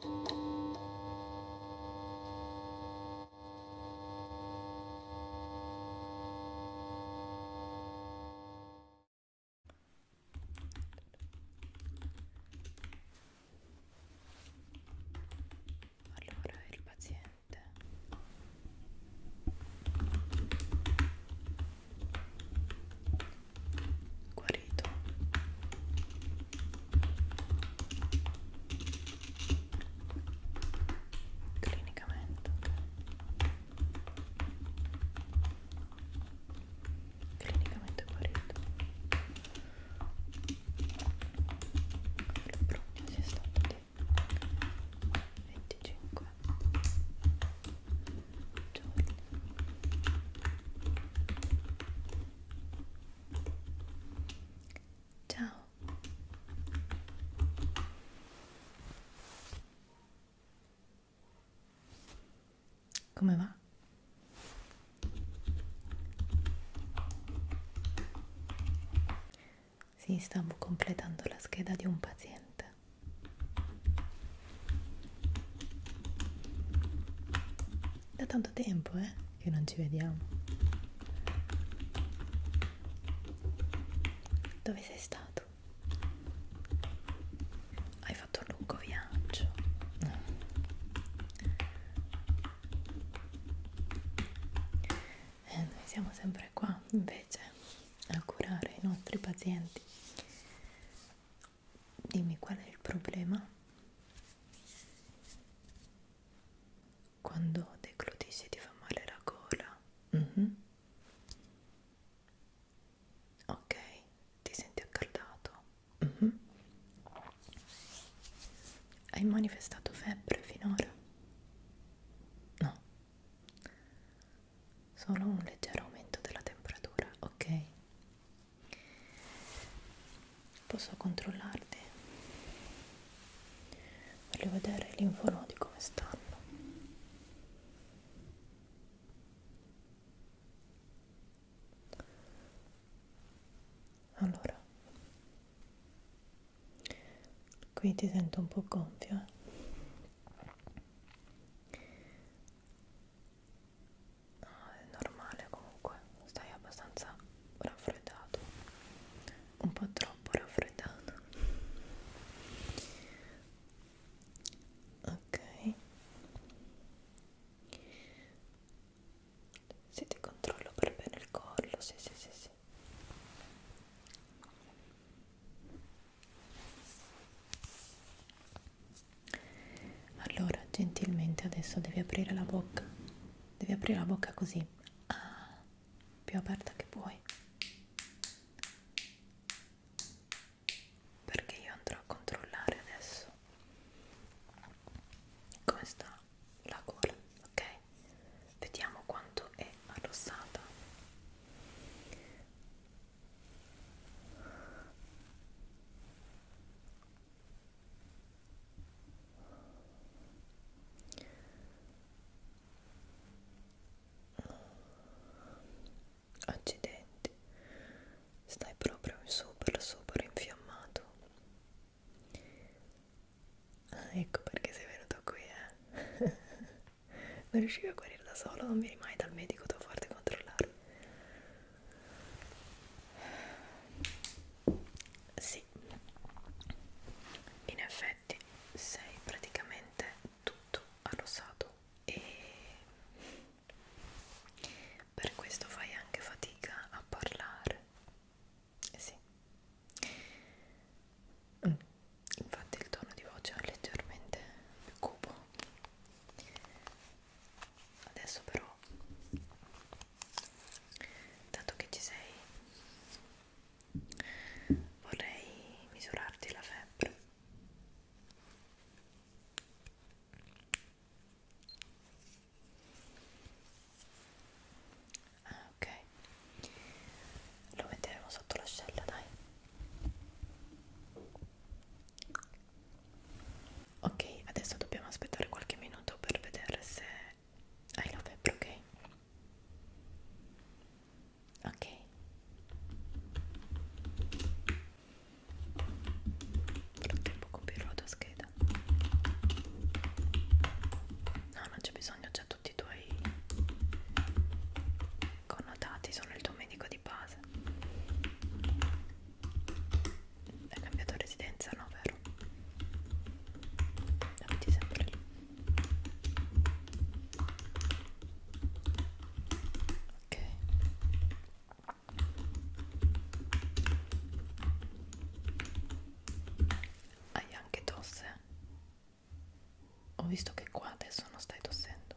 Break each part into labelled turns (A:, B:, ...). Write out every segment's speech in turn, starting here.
A: Allora il paziente guarito clinicamente okay. clinicamente guarito la prognosi è stata di 25 Ciao. Come va? Sì, stavo completando la scheda di un paziente. Da tanto tempo, eh, che non ci vediamo. Dove sei stato? Hai fatto un lungo viaggio. No. Eh, noi siamo sempre qua, invece a curare i nostri pazienti. Dimmi qual è il problema? Quando declutisci ti fa male la gola? Mm -hmm. Ok, ti senti accaldato? Mm -hmm. Hai manifestato febbre finora? No solo un leggero aumento della temperatura, ok? Posso controllarti? Voglio vedere gli infonodi come stanno. Allora, qui ti sento un po' gonfia. Eh? No, è normale comunque, stai abbastanza raffreddato, un po' troppo raffreddato. Ok. Se ti controllo per bene il collo, sì, sì, sì, sì. Allora, gentilmente adesso devi aprire la bocca. Devi aprire la bocca così. Ah, più aperta che puoi. Perché io andrò a controllare adesso come sta la gola, ok? vediamo quanto è arrossata accidenti stai proprio super super infiammato Ah, ecco perché sei venuto qui, eh? non riuscivi a guarire da solo, non vieni mai dal medico, devo farti controllare. Sì, in effetti sei praticamente tutto arrossato e per questo fai anche fatica a parlare eh sì. Mm. Infatti il tono di voce è leggermente più cupo. Adesso però, dato che ci sei, vorrei misurarti la febbre. Ah, ok. Lo metteremo sotto l'ascella, dai. Ok, adesso dobbiamo aspettare qualche minuto per vedere se hai la febbre, ok? Ok. Nel frattempo compirò la tua scheda credo no non c'è bisogno già tutti i tuoi connotati sono il tuo medico di base hai cambiato residenza no vero abiti sempre lì ok hai anche tosse? Ho visto che qua adesso non stai tossendo.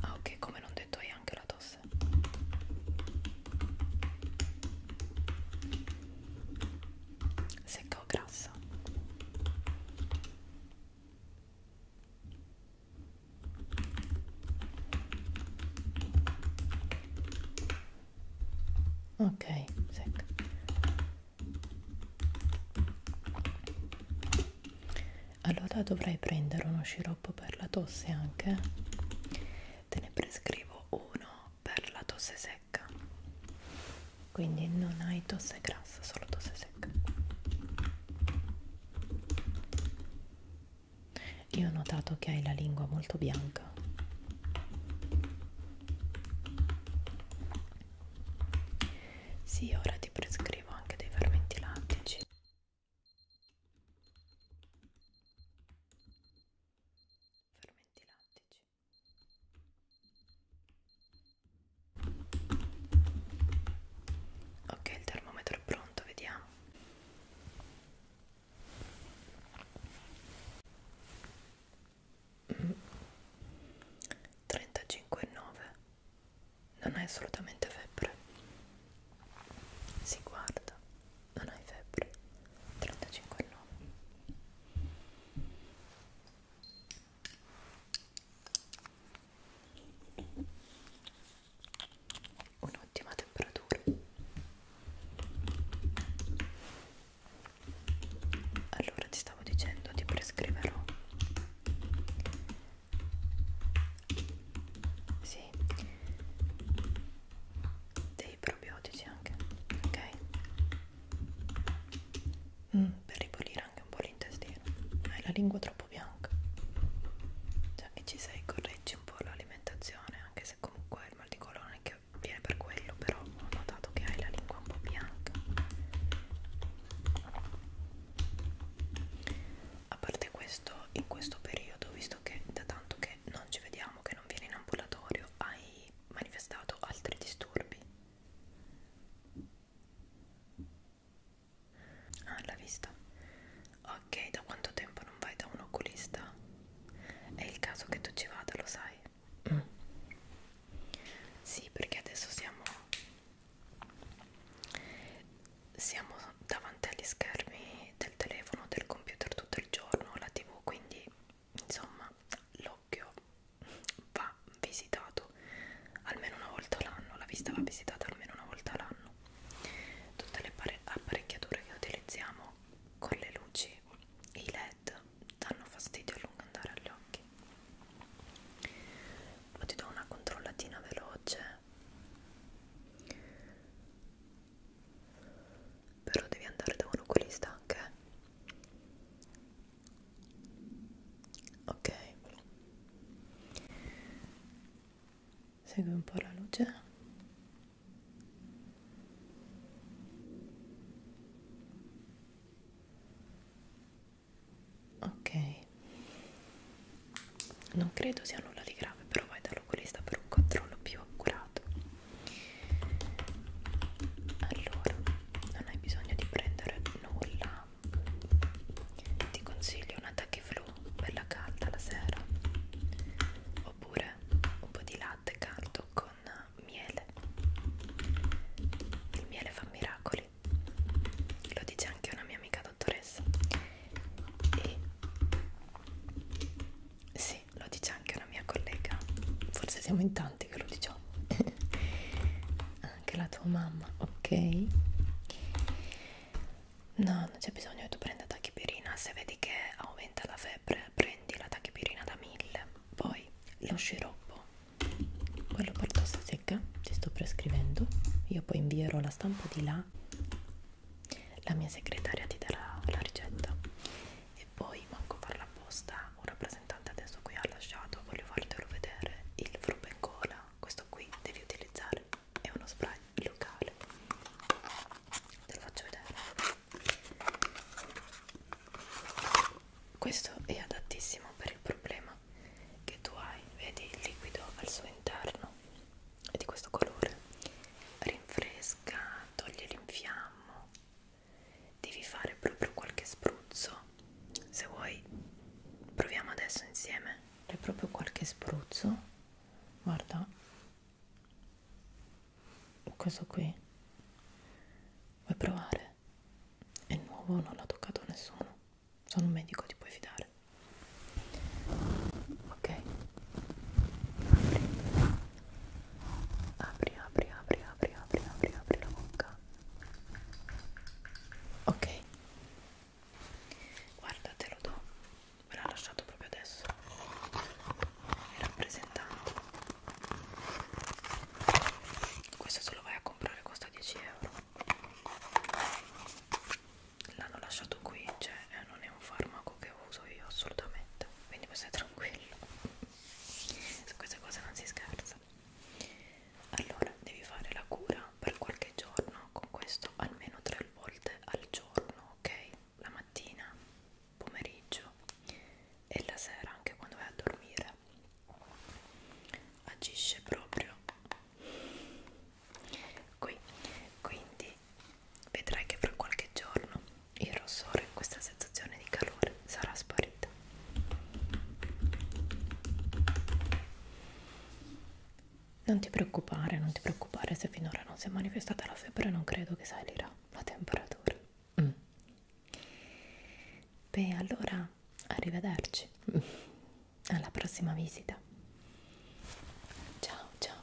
A: Ah ok, come non detto hai anche la tosse. Secca o grassa? ok secca allora dovrai prendere uno sciroppo per la tosse anche te ne prescrivo uno per la tosse secca quindi non hai tosse grassa solo tosse secca io ho notato che hai la lingua molto bianca. Sì, ora ti prescrivo anche dei fermenti lattici. Fermenti lattici. Ok, il termometro è pronto, vediamo. 35,9 non hai assolutamente febbre si guarda non hai febbre 35,9 ok un'ottima temperatura allora ti stavo dicendo ti prescriverò sì dei probiotici anche ok mm, per ripulire anche un po' l'intestino hai la lingua troppo troppo bianca già che cioè, ci sei correggi un po' l'alimentazione anche se comunque il mal di colore che viene per quello però ho notato che hai la lingua un po' bianca a parte questo in questo periodo visto che da tanto che non ci vediamo che non vieni in ambulatorio hai manifestato altri disturbi Ah, l'ha vista. Ok, da quanto tempo non vai da un oculista? È il caso che tu ci vada, lo sai? Mm. Sì, perché adesso siamo siamo davanti agli schermi del telefono, del computer tutto il giorno, la tv, quindi insomma l'occhio va va visitato almeno una volta l'anno, la vista va visitata almeno una volta l'anno. Tutte le apparecchiature che utilizziamo con le luci e i led danno fastidio a lungo andare agli occhi. Poi ti do una controllatina veloce. Però devi andare da un oculista anche ok segui un po' la luce ok non credo sia nulla di grave però vai dall'oculista per un controllo più accurato allora non hai bisogno di prendere nulla ti consiglio un flu per la calda la sera oppure un po' di latte caldo con miele il miele fa miracoli lo dice anche una mia amica dottoressa e sì, lo dice anche una mia collega forse siamo in tante tanti che lo diciamo anche la tua mamma ok no non c'è bisogno che tu prenda tachipirina se vedi che aumenta la febbre prendi la tachipirina da 1000 poi lo sciroppo poi lo porto a secca ti sto prescrivendo io poi invierò la stampa di là la mia segretaria ti darà la ricetta e poi manco farla apposta un rappresentante adesso qui ha lasciato voglio fartelo vedere il frubencola questo qui devi utilizzare è uno spray locale te lo faccio vedere questo è adattissimo per il problema che tu hai vedi il liquido al suo interno è di questo colore rinfresca toglie l'infiammo devi fare proprio qualche spruzzo se vuoi proviamo adesso insieme fai proprio qualche spruzzo guarda questo qui vuoi provare è nuovo non l'ha toccato nessuno sono un medico ti puoi fidare ok apri apri apri apri apri apri apri apri la bocca ok guarda te lo do me l'ha lasciato proprio adesso il rappresentante questo se lo vai a comprare costa 10 euro l'hanno lasciato qui cioè eh, non è un farmaco che uso io assolutamente quindi puoi stare tranquillo su queste cose non si scherza allora devi fare la cura per qualche giorno con questo almeno tre volte al giorno ok la mattina pomeriggio e la sera anche quando vai a dormire agisce proprio qui quindi vedrai che fra qualche giorno il rossore, questa sensazione di calore sarà sparita. Non ti preoccupare, non ti preoccupare se finora non si è manifestata la febbre, non credo che salirà la temperatura. Mm. Beh, allora arrivederci. Alla prossima visita. Ciao ciao.